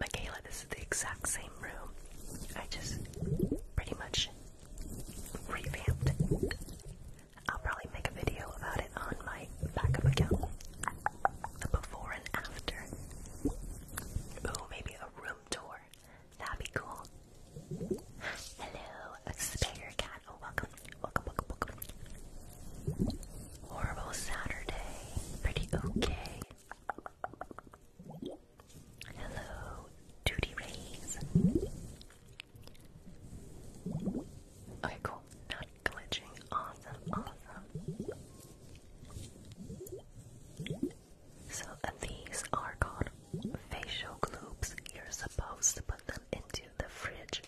Michaela, this is the exact same room. I just pretty much revamped. I'll probably make a video about it on my backup account. The before and after. Ooh, maybe a room tour. That'd be cool. Hello, spare cat. Oh, welcome. Welcome, welcome, welcome. Horrible Saturday. Pretty okay. Hello, Duty Rays. Okay, cool. Not glitching. Awesome, awesome. So these are called facial globes. You're supposed to put them into the fridge.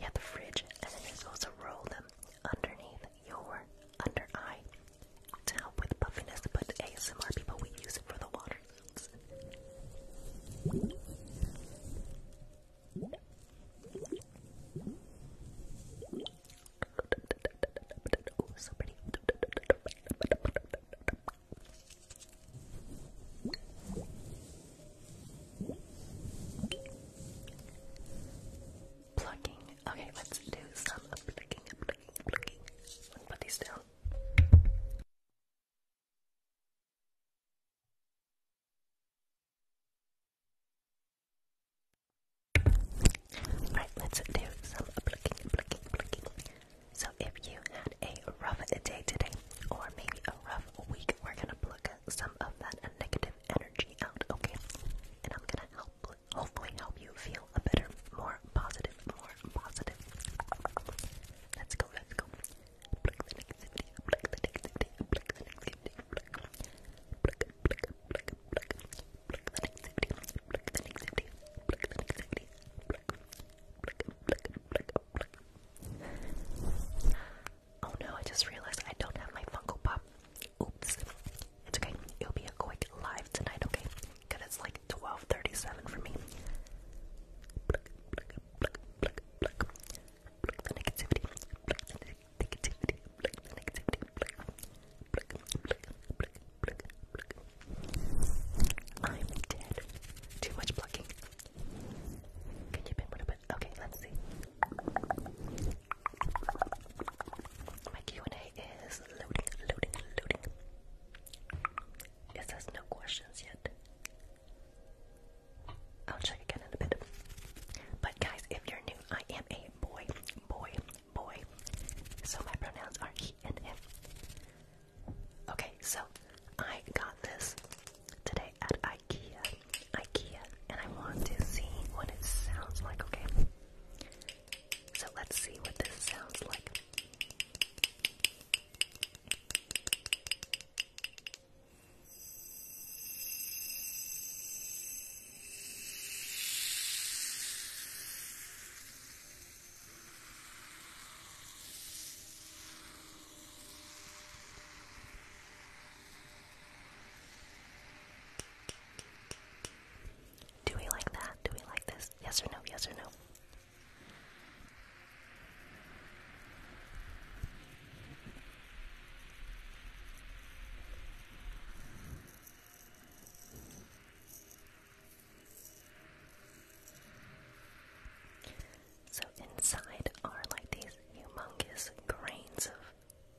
Yeah, the fridge, and then you're roll them underneath your under eye to help with puffiness, but ASMR people, we use it for the water plucking. Okay, let's do some plucking, plucking, plucking. Let's Alright, let's do some plucking, plucking, plucking. So if you had a rough day today, or maybe a rough week, we're gonna pluck some of that negative energy out, okay? And I'm gonna help, hopefully, help you feel a better, more positive, more positive. Let's go, let's go. Oh no, I just realized I don't have my Funko Pop. Oops. It's okay. It'll be a quick live tonight, okay? Because it's like 12.37 for me. I'm dead. Too much plucking. Can you pin what a bit? Okay, let's see. My Q&A is loading, loading, loading. It says no questions yet. I'll check again in a bit. But guys, if you're new, I am a boy, boy, boy. So my pronouns are he and him. Okay, so I got this today at IKEA, IKEA, and I want to see what it sounds like. Okay, so let's see what this sounds like. Do we like that? Do we like this? Yes or no? Yes or no? So inside are like these humongous grains of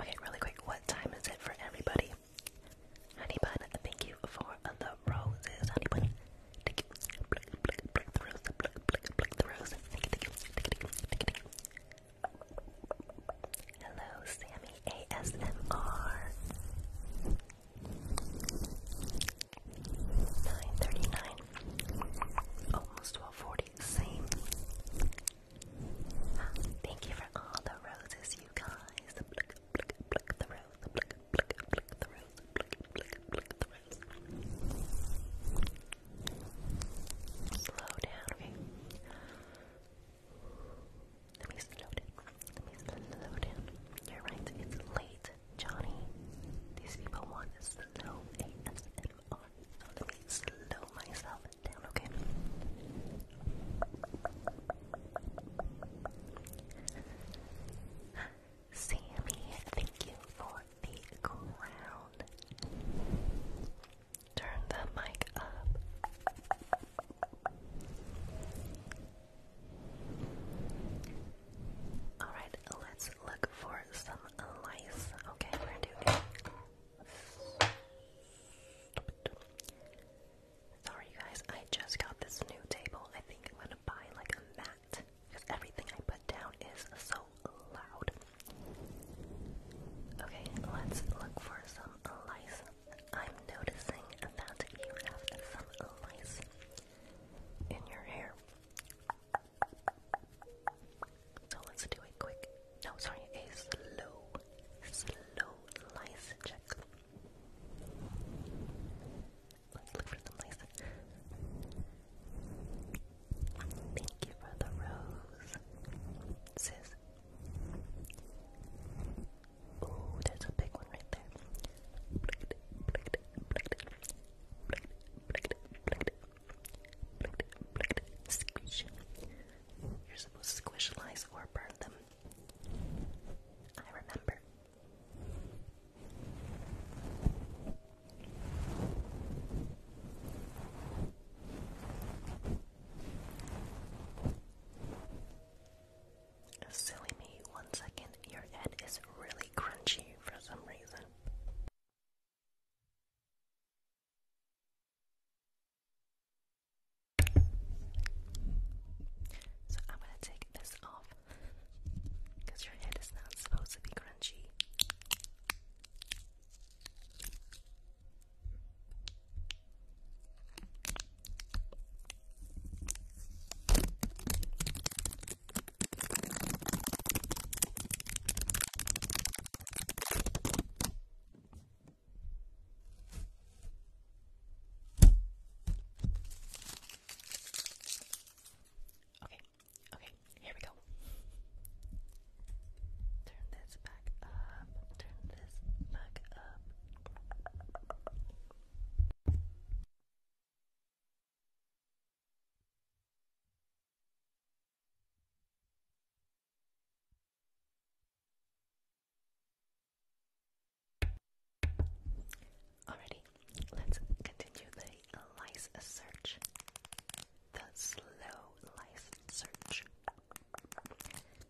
Okay, really quick, what time is it for everybody? Honey bun, thank you for the roses. Honey bun, Hello, Sammy ASMR. 939. Almost 1240. Same. Thank you for all the roses, you guys. The blick, the rose, the blick, the rose, Slow down, okay? Let me slow down. You're right, it's late, Johnny. These people want slow ASMR. let me slow myself down, okay? Sammy, thank you for the crown. Turn the mic up. Alright, let's look for some lice. Okay, we're going Sorry, guys, I just got this new table. I think I'm gonna buy like a mat because everything I put down is so loud. Okay, let's look for some lice. I'm noticing that you have some lice in your hair. So let's do a quick, no, sorry, a slow, slow lice check. Let's look for some lice. Thank you for the rose, sis. Oh, there's a big one right there. Squish. You're supposed to squish lice or burn them. I remember. Silly me, one second, your head is really crunchy for some reason. So I'm gonna take this off because your head is not supposed to be crunchy. Okay, okay, here we go. Turn this back up. Turn this back up. Alrighty, let's continue the lice search. The slow lice search.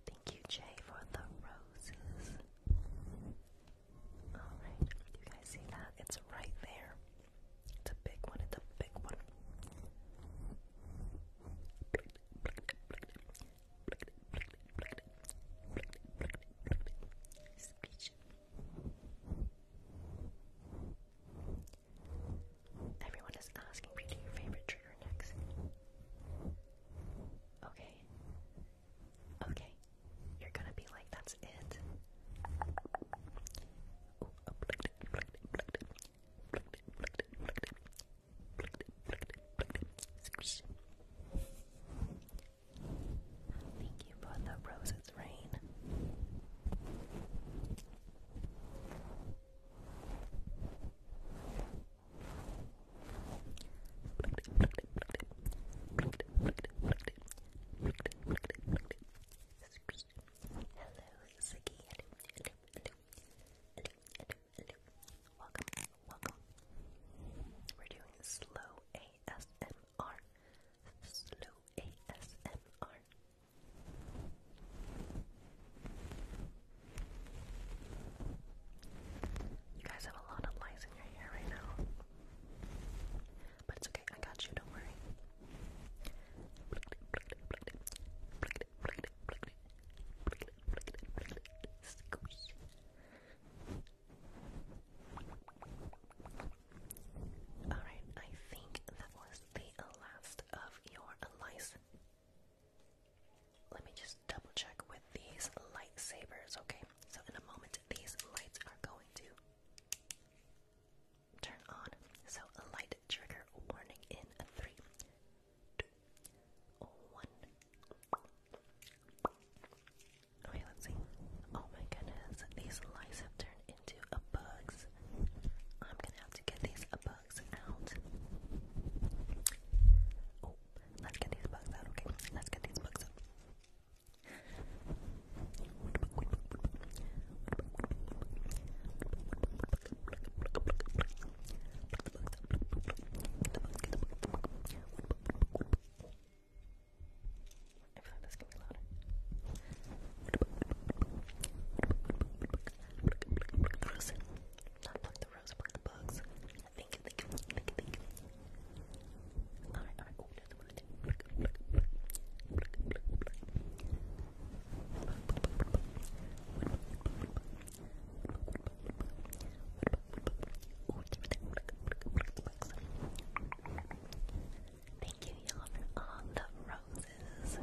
Thank you, Jay, for the roses. Alright, you guys see that? It's right there. It's a big one, it's a big one. Speech. Everyone is asking me to do your favorite trigger next. Okay. Okay. You're gonna be like, that's it. Thank you for the roses, Rain. Ziggy. Welcome, welcome. We're doing slow ASMR. Slow ASMR. You guys have a lot of lights in your hair right now. But it's okay, I got you, don't worry. Alright, I think that was the last of your lice let me just double check with these lightsabers, okay? So, in a moment, these lights are going to turn on. So, a light trigger warning in a three, two, one. Okay, let's see. Oh my goodness, these lights have turned into bugs. I'm gonna have to get these a bug. Oh, let's get these bugs out, okay? Let's get these bugs out. I feel like this can be louder. Not pluck the rose, pluck the bugs. Think, think, think, think. think. Alright, Thank you, for all the roses.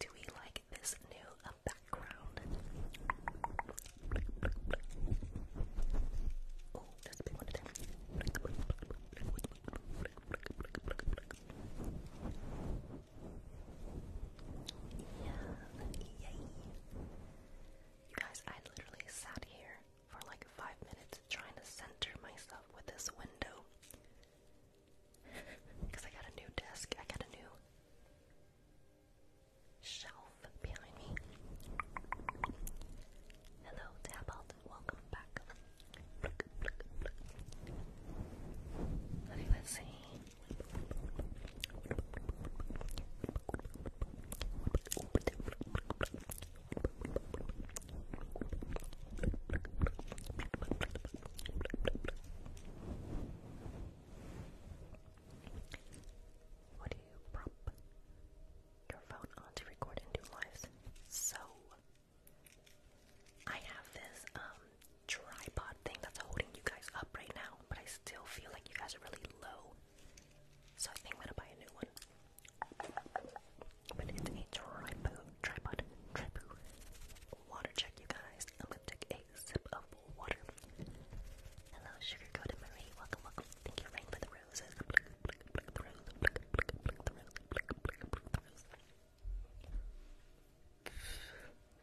Do we like this new you guys, I literally sat here for like five minutes trying to center myself with this window. Because I got a new desk, I got a new shelf behind me. Hello, Tabalt, welcome back. let's see. What do you prop your phone on to record and lives? So, I have this um, tripod thing that's holding you guys up right now, but I still feel like you guys are really low. So I think I'm gonna buy a new one. But it's a tripod, tripod, tripod. Water check, you guys. I'm gonna take a Hello, Sugar Coated Welcome, welcome. Thank you, Rain, for the roses. The rose,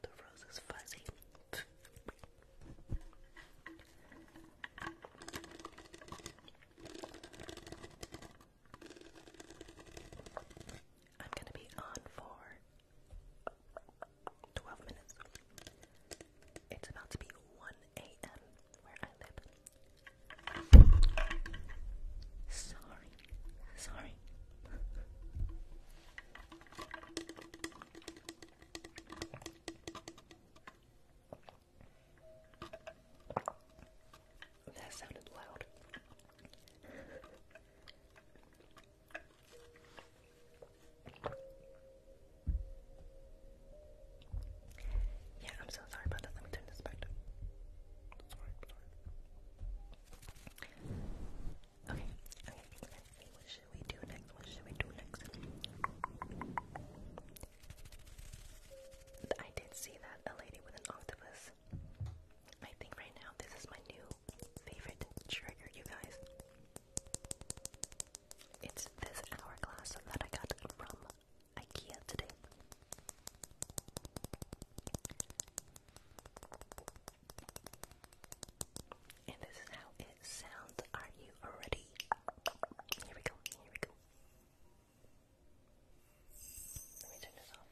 the rose is fuzzy. I'm gonna be on for 12 minutes. It's about to be 1 a.m. where I live. Sorry, sorry. That sounded loud. Yeah, I'm so sorry about that. Let me turn this back Okay, okay, What should we do next? What should we do next? I did see that a lady with an octopus this. I think right now this is my new favorite trigger, you guys. It's this hourglass that I got from IKEA today. And this is how it sounds. Are you ready? Here we go, here we go. Let me turn this off.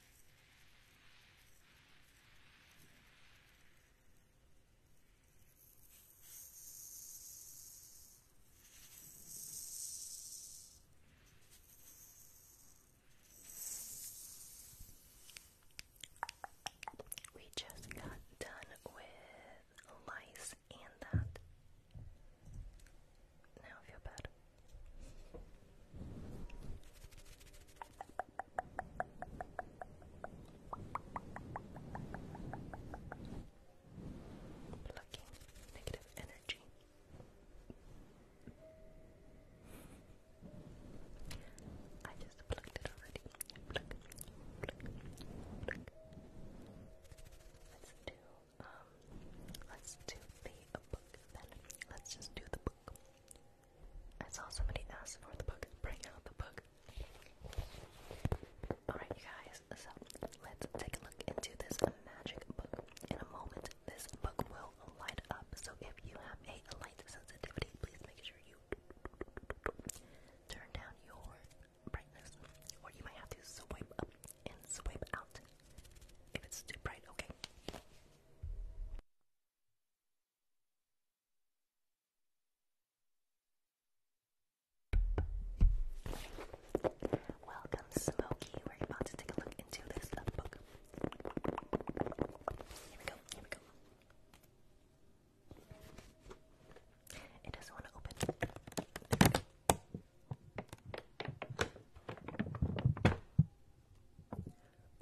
We just got done with lice and that. Now feel bad. Plucking negative energy. I just plucked it already. Let's do um let's do the book then. Let's just do the book. I saw somebody ask for the book. Bring out the book. Alright, you guys, so let's take a look into this magic book. In a moment, this book will light up. So if you have a light sensitivity, please make sure you turn down your brightness. Or you might have to swipe up and swipe out if it's too bright, okay? Welcome, Smokey. We're about to take a look into this book. Here we go, here we go. It doesn't want to open.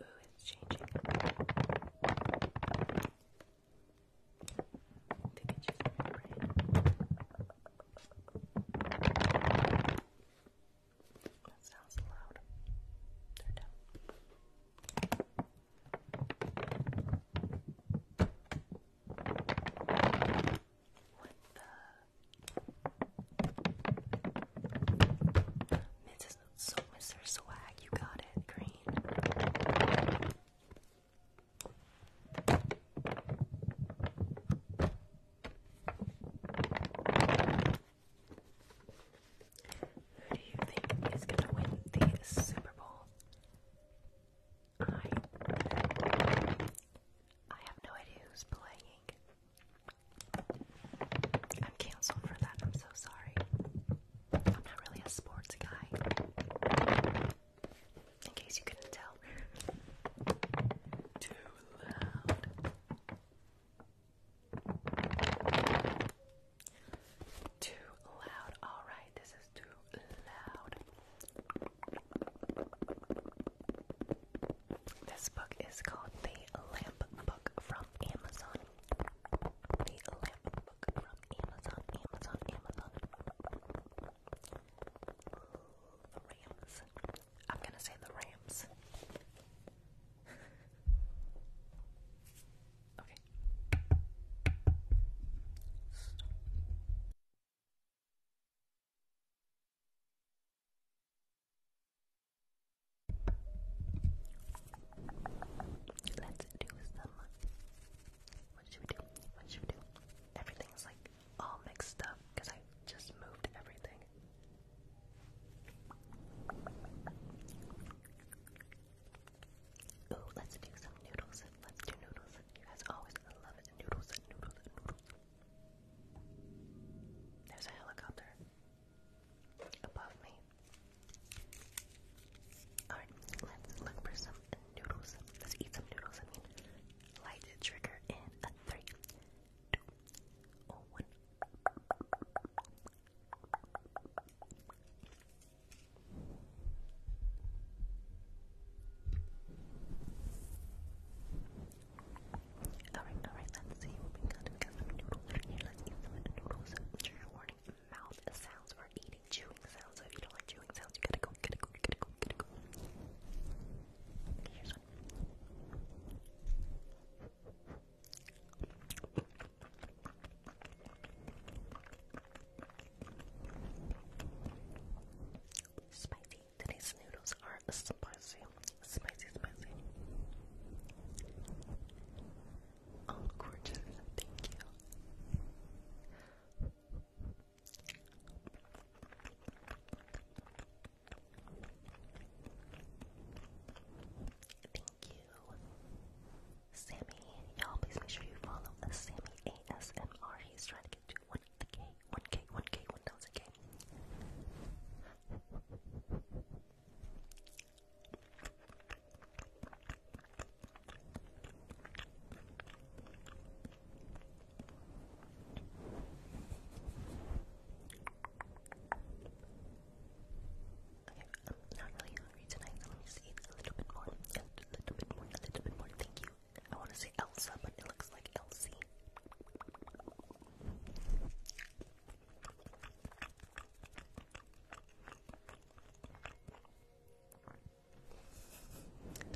Ooh, it's changing. I think it's just That sounds loud. They're down. What the? So, Mr. Swag, you got it, green. Who do you think is going to win the Super Bowl? I I have no idea who's playing. I'm canceling for that. I'm so sorry. I'm not really a sports guy. In case you couldn't tell. Too loud. Too loud. All right, this is too loud. This book is called The Lamp Book from Amazon. The Lamp Book from Amazon, Amazon, Amazon. The Rams. I'm gonna say the Rams. okay. Let's do some. Uh, what should we do? What should we do? Everything's like all mixed up because I just moved everything. Ooh, let's do some noodles. Let's do noodles. You guys always love Noodles, noodles, noodles. There's a helicopter above me. Alright, let's look for some noodles. Let's eat some noodles. I mean, light the trigger in a three, two, oh, one. Alright, alright, let's see we got. We got some noodles right here. let noodles. warning mouth sounds or eating chewing sounds. So if you don't like chewing sounds, you gotta go, you gotta go, you gotta go, you gotta go. Here's one. Spicy. Today's noodles are spicy. Spicy, spicy. Oh, gorgeous. Thank you. Thank you, Sammy. Y'all, please make sure you follow Sammy ASMR. He's trying to get to 1K, 1K, 1K, 1000K. I'm not really hungry tonight, let me just a little bit more, a little bit more, a little bit more, thank you. I want to say Elsa, but it looks like Elsie.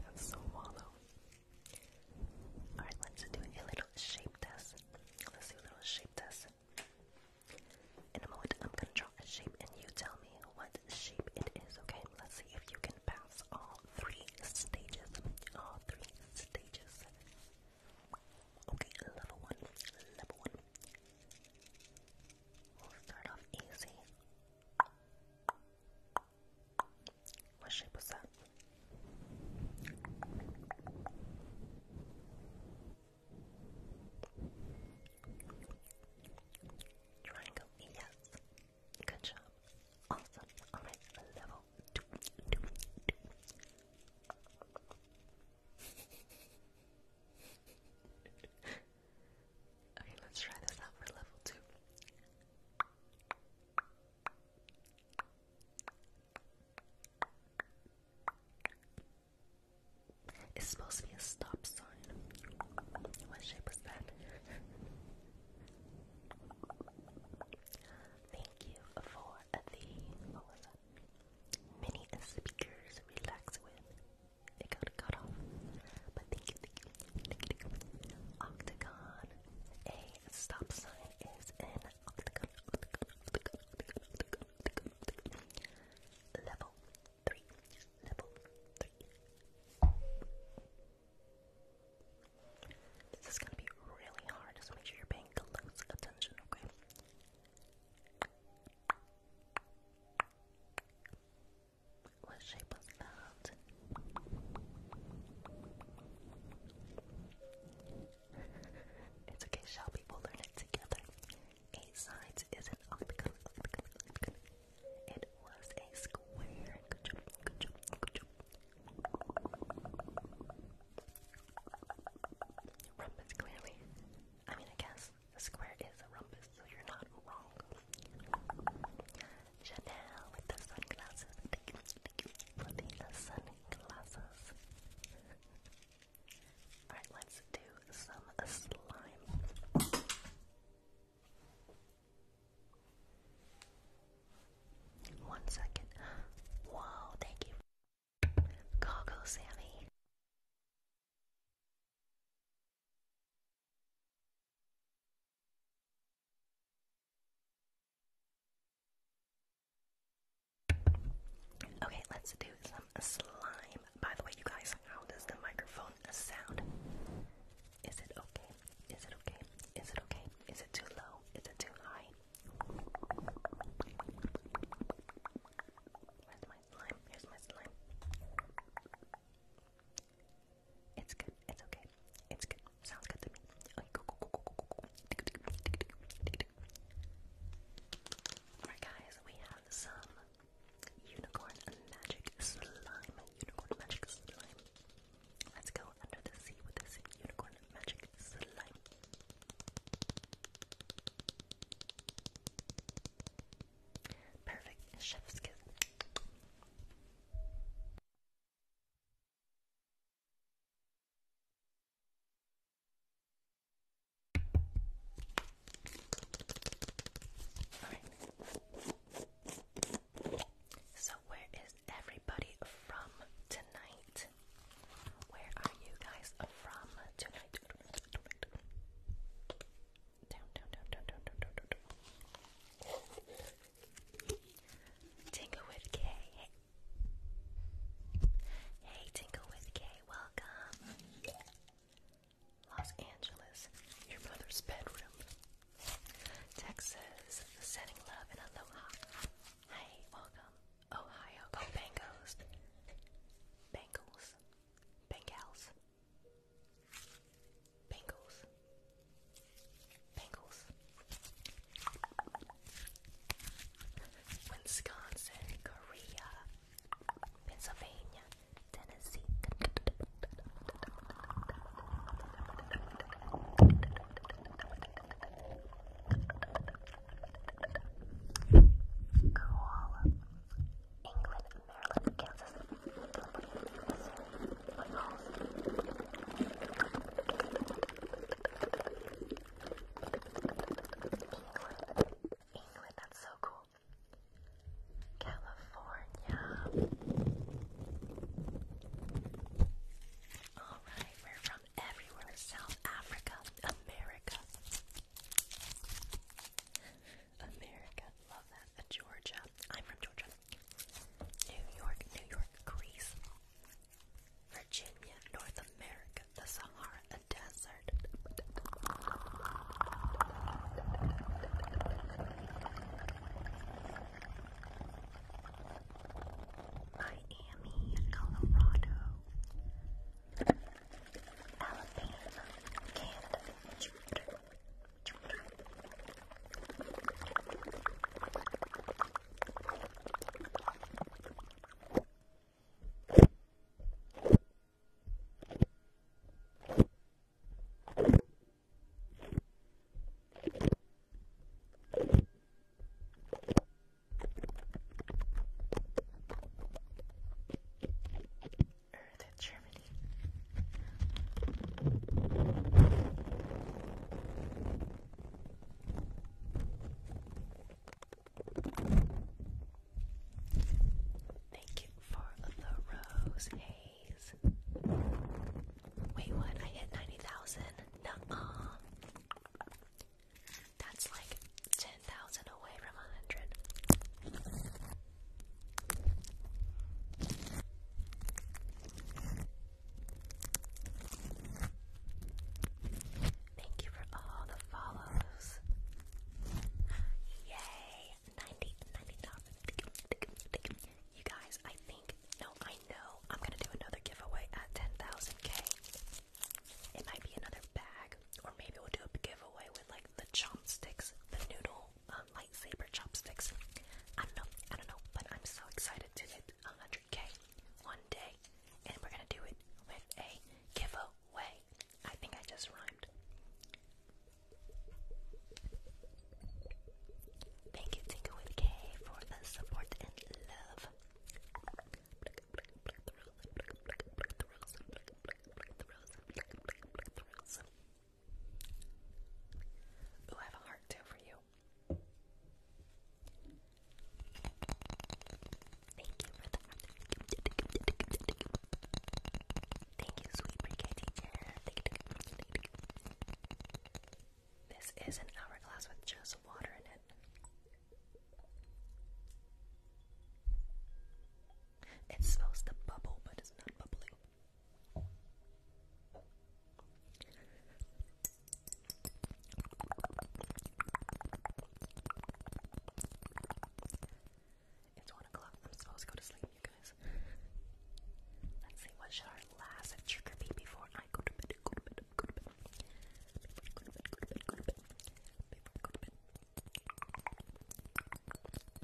That's so wallow. Alright, let's do a little shape test. Let's do a little shape test. In a moment, I'm gonna draw a shape and you tell me what shape it is, okay? Let's see if you can pass all three stages. All three stages. Okay, level one, level one. We'll start off easy. What shape was that? Triangle, yes. Good job. Awesome. Alright, level okay, let's try this out for level two. It's supposed to be a stop sign. What shape was that? Thank you for the many speakers relax with. It got cut off. But thank you, thank you, Octagon. A stop sign is in. octagon. Level three. Level three. This is gonna be really hard, make sure you're paying paying close attention, okay? What shape was that? it's okay, Shelby. We'll learn it together. Eight sides is an octagon, It was a square. Rumpus, clearly. I mean, I guess a square is a rumpus, so you're not wrong. Chanel with the sunglasses. Thank you, thank you for the sunglasses. Alright, let's do some slime. One second. Whoa, thank you. Goggle, Sammy. Okay, let's do some slime. By the way, you guys, how does the microphone sound? Is it okay? Is it okay? Is it okay? Is it too low? Is it too high? Where's my slime? Here's my slime. It's good. It's okay. It's good. Sounds good to me. Alright guys, we have some unicorn magic slime. Unicorn magic slime. Let's go under the sea with this unicorn magic slime. Perfect. Chef's kiss. So where is everybody from tonight? Where are you guys from tonight? Tingle with K. Hey. Tingle with K. Welcome. Los Angeles, your mother's bedroom. Texas, sending love and aloha. Hey, welcome. Ohio. Oh, Go Bengals. Bengals. Bengals. Bengals. Bengals. Wisconsin, Korea, Pennsylvania, Tennessee. Koala. England, Maryland, Kansas, England, England, that's so cool. California. Alright, we're from everywhere South Africa, America. America, love that. Georgia, I'm from Georgia. New York, New York, Greece. Virginia, North America, the Sahara, a desert. Miami, Colorado, Alabama, Canada, Jupiter, Jupiter. Thank you. Earth of Germany. Thank you for the rose haze. Wait, what? I hit 90,000? nuh that's like 10,000 away from 100. Thank you for all the follows. Yay! 90, You guys, I think no, I know. I'm gonna do another giveaway at 10,000k. It might be another bag, or maybe we'll do a giveaway with like the chopsticks, the noodle um, lightsaber chopsticks. I don't I don't know, but I'm so excited to hit 100k one day, and we're gonna do it with a giveaway. I think I just rhymed. Thank you, Tinker with K, for the support and love. Ooh, I have a heart too for you. Thank you for that. Thank you, sweet pre-K teacher. Thank you. This is an hourglass with just water in it. It's supposed to bubble, but it's not bubbling. It's one o'clock. I'm supposed to go to sleep, you guys. Let's see, what should our last trigger be before I go to bed? Go to bed.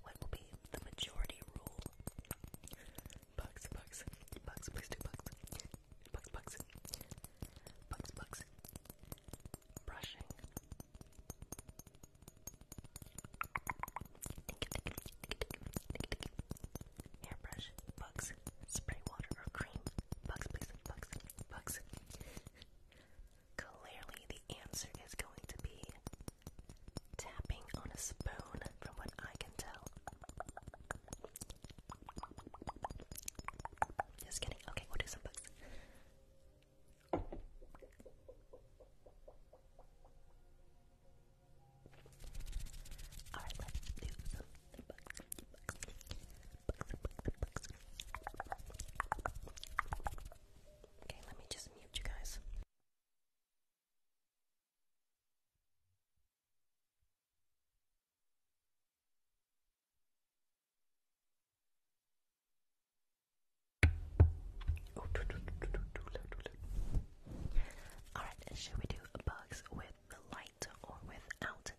What will be the majority rule? Bugs, bugs, bugs, please do bugs. Bugs, bugs. Bugs, Brushing hairbrush, bugs, spray water or cream. Bugs, please, bugs, bugs. Clearly, the answer is going to be tapping on a spoon, from what I can tell. Just kidding. Okay, we'll do some bugs. Alright, let's do some bugs. Okay, let me just mute you guys. All right, should we do bugs with the light? or without the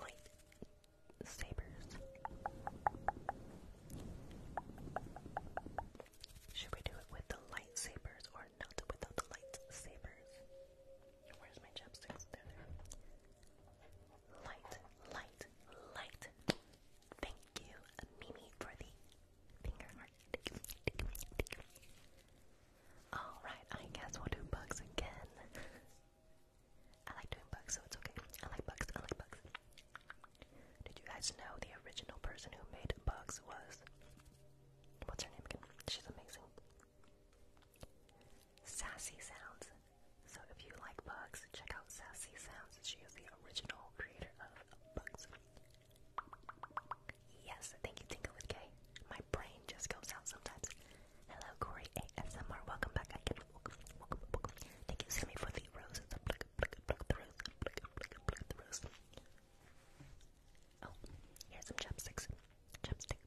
lightsabers? Should we do it with the lightsabers or not without the lightsabers? Where's my chopsticks? There they Light, light, light. Thank you, Mimi, for the finger heart. Alright, I guess we'll do bugs again. I like doing bugs, so it's okay. I like bugs, I like bugs. Did you guys know the original person who made bugs was. What's her name again? She's amazing. Sassy Sounds. So if you like bugs, check out Sassy Sounds. She is the original creator of bugs. Yes, thank you, Tingle with K. My brain just goes out sometimes. Hello, Corey ASMR. Welcome back again. Welcome, welcome, welcome. Thank you, Sammy, for the rose. The pluck, the rose. Oh, here's some chopsticks. Chopstick.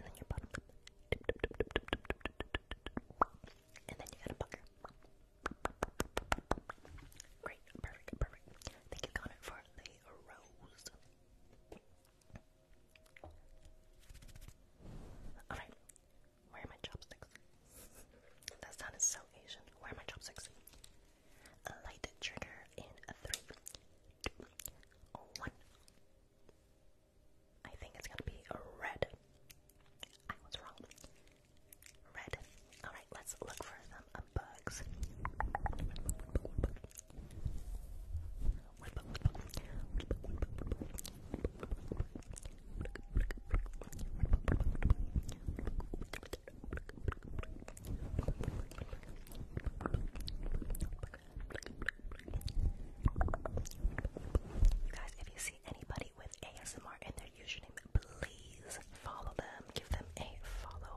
And then your bottom. And then you got a Great, perfect, perfect. Thank you, Connor, for the Alright, where are my chopsticks? that sound is so Asian. Where are my chopsticks? A light trigger in three, two, one. I think it's gonna be a red. I was wrong. Red. All right, let's look for some bugs. You guys, if you see anybody with ASMR in their username, please follow them. Give them a follow.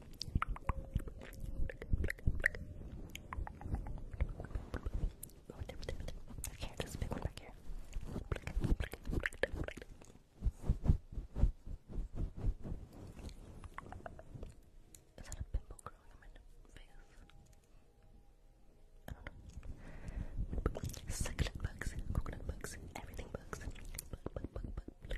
Back here, this big one back here. Is that a pimple growing on my face? I don't know. Succulent bugs, coconut bugs, everything bugs. Bug, bug, bug, bug,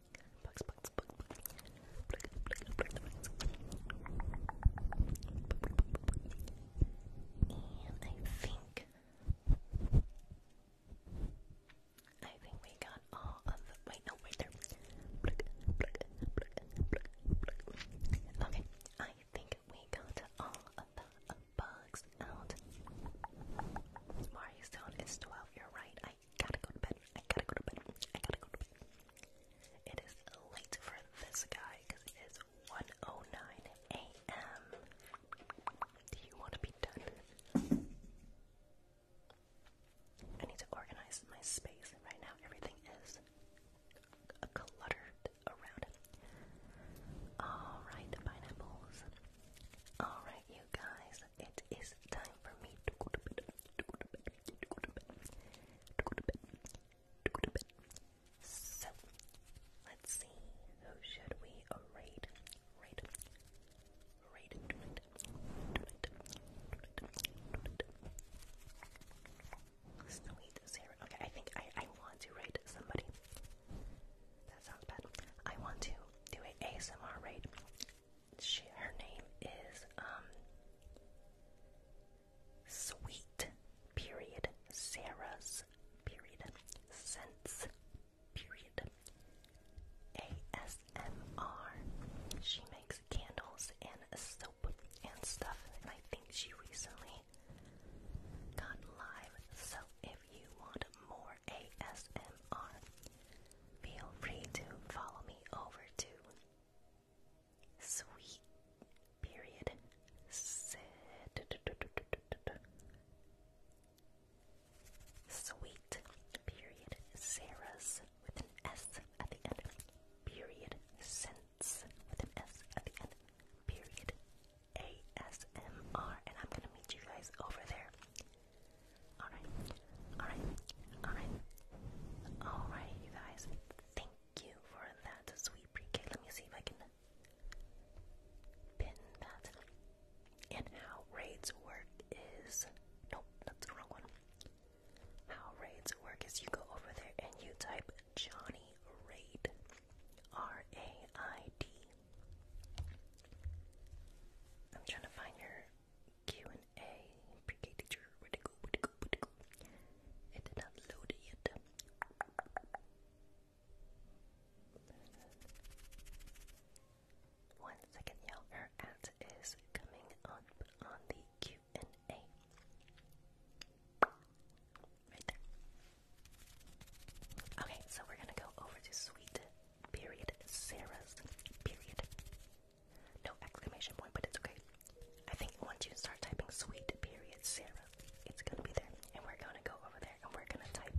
Bugs, bugs, bugs, bugs. And I think I think we got all of the wait no wait there. Okay, I think we got all of the bugs out. Mario's tone is 12, you're right. I gotta go to bed. I gotta go to bed. I gotta go to bed. It is late for this guy because it is 1:09 a.m. Do you want to be done? I need to organize my space right now. Everything is cluttered around All right, pineapples. All right, you guys. It is time for me to go to bed to go to bed, to go to bed, to go to bed, to go to bed. So, let's see, who should we raid? Raid, raid, do it, do it, do it, do it. Sweet zero. Okay, I think I, I want to raid somebody. That sounds bad. I want to do an ASMR raid she her name is um, Sweet period Sarah's period Sense period ASMR. She makes candles and soap and stuff, and I think she recently got live. So if you want more ASMR, feel free to follow me over to sweet period sweet period Sarah's with an S at the end period sense with an S at the end period ASMR and I'm gonna meet you guys over there Alright, alright, alright. Alright, you guys. Thank you for that sweet pre Let me see if I can pin that. And how raids work is. Nope, that's the wrong one. How raids work is you go over there and you type Johnny Raid. R A I D. I'm trying to find your Q and A. PK teacher, where go? where go? where go? It did not load yet. One second, y'all. Her ad is coming up on the Q and A. Right there. Okay, so we're gonna go over to sweet period Sarah's period no exclamation point, but it's okay. I think once you start typing sweet period Sarah, it's gonna be there. And we're gonna go over there and we're gonna type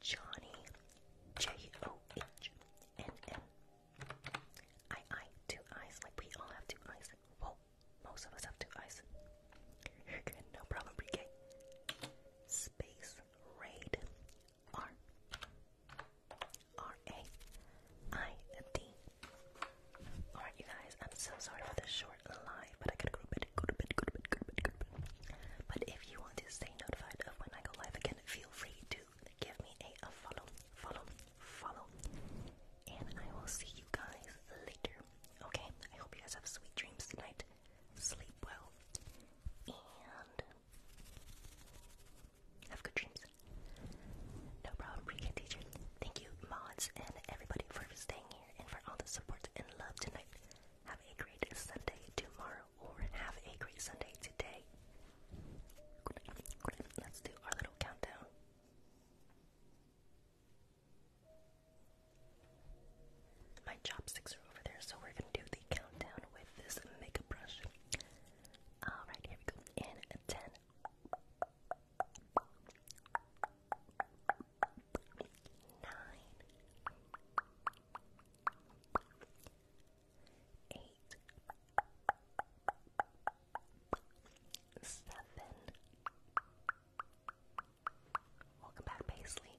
Johnny J O H N N I I two eyes. Like we all have two eyes. Well, most of us have two eyes. You're good, no problem, pre Space raid R R A I D. Alright, you guys, I'm so sorry for the short live, but if you want to stay notified of when I go live again, feel free to give me a, a follow, follow, follow. And I will see you guys later. Okay, I hope you guys have sweet dreams tonight. Sleep well. And have good dreams. No problem, pre teachers. Thank you, mods, and everybody for staying here and for all the support and love tonight. Have a great Sunday tomorrow, or have a great Sunday today. Let's do our little countdown. My chopsticks are over so we're gonna do the countdown with this makeup brush. Alright, here we go. In 10, Welcome back, Paisley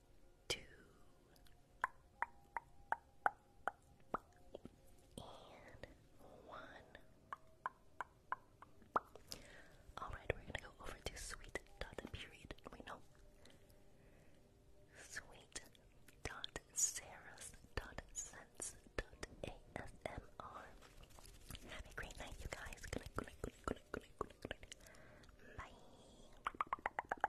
two, and one. Alright, we're gonna go over to sweet dot period. We know sweet dot Sarah's dot sense dot ASMR. Have a great night, you guys. Bye.